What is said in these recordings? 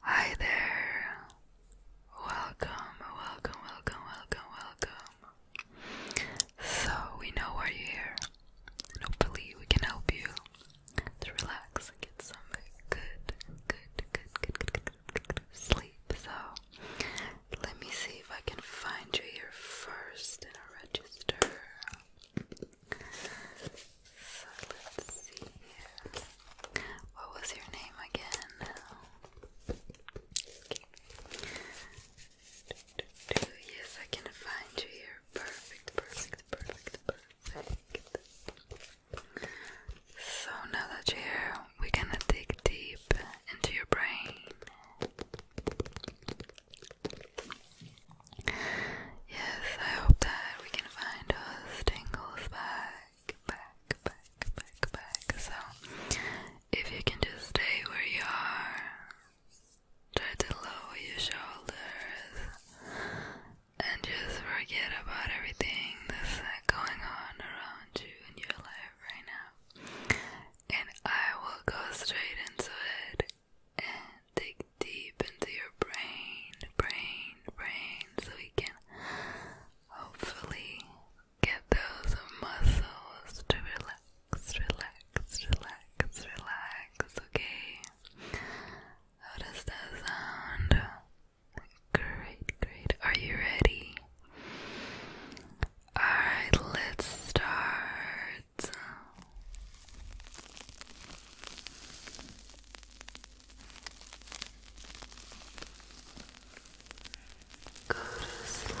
Hi there. Welcome, welcome, welcome, welcome, welcome. So, we know why you're here, hopefully, we can help you to relax and get some good, good, good, good, good, good, good, good sleep. So, let me see if I can find you here first in register. So let's see What was your name again? Yes, I can find you here. Perfect, perfect, perfect, perfect. So now that you're here, we're gonna dig deep into your brain. Yes, I hope that we can find us tingles back, back, back, back, back. So, if you can just stay where you are, try to lower your shoulders and just forget about everything that's going on around you in your life right now. And I will go straight into it and dig deep into your brain, brain, brain, so we can hopefully get those muscles to relax, relax, relax, relax, okay? How does that sound? Great, great. Are you ready? Alright, let's start words. Uh, go to sleep.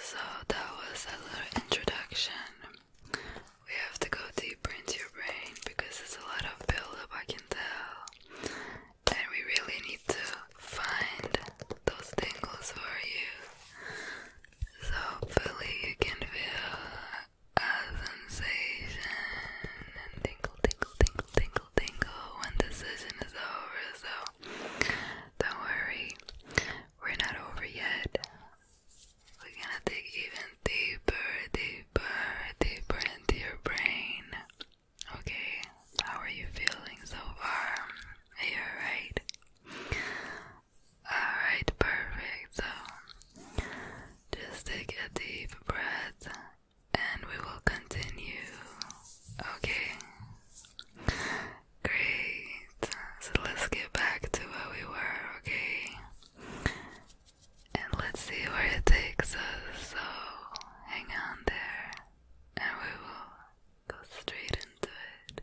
So that was a little introduction. We have to go deeper into your brain because there's a lot of buildup, I can tell and we really need to find those tingles for you. So hopefully you can feel a sensation and tingle, tingle, tingle, tingle, tingle when the session is over. So don't worry, we're not over yet. We're gonna dig even deeper, deeper deeper, deeper into your brain. Okay, how are you feeling so far? Are you Alright, perfect. So, just take a deep breath and we will continue. Okay, great. So, let's get back to where we were, okay? And let's see where it takes us. So hang on there, and we will go straight into it.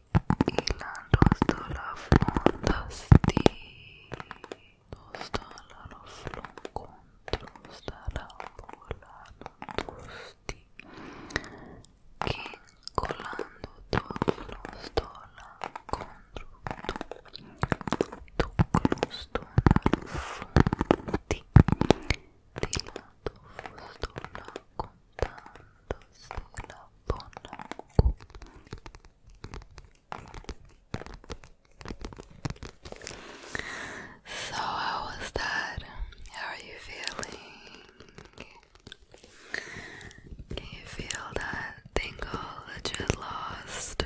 ilan dostala flon dasti dostala no flon contro stala volano che colando to flon stola contro tu tu stola fonti di so how was that? How are you feeling? Can you feel that tingle that you lost?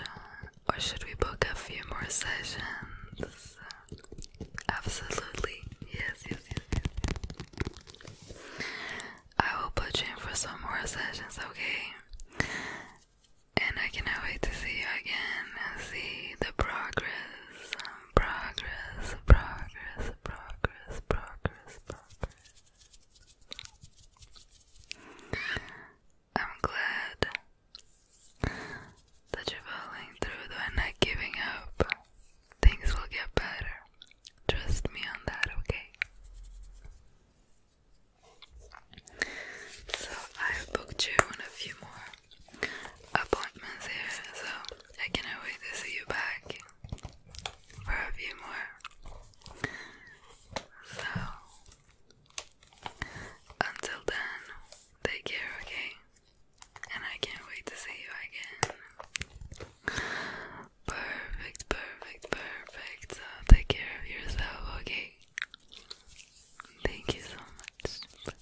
Or should we book a few more sessions? Absolutely. Yes, yes, yes, yes, yes. I will put you in for some more sessions, okay? And I cannot wait to see you again and see the progress. Progress, progress, progress, progress, progress. I'm glad that you're following through though and not giving up. Things will get better. Trust me on that, okay? So, I've booked you on a few more appointments here, so I cannot wait to see you back for a few more. So, until then, take care, okay? and I can't wait to see you again. Perfect, perfect, perfect. take care of yourself, okay? Thank you so much.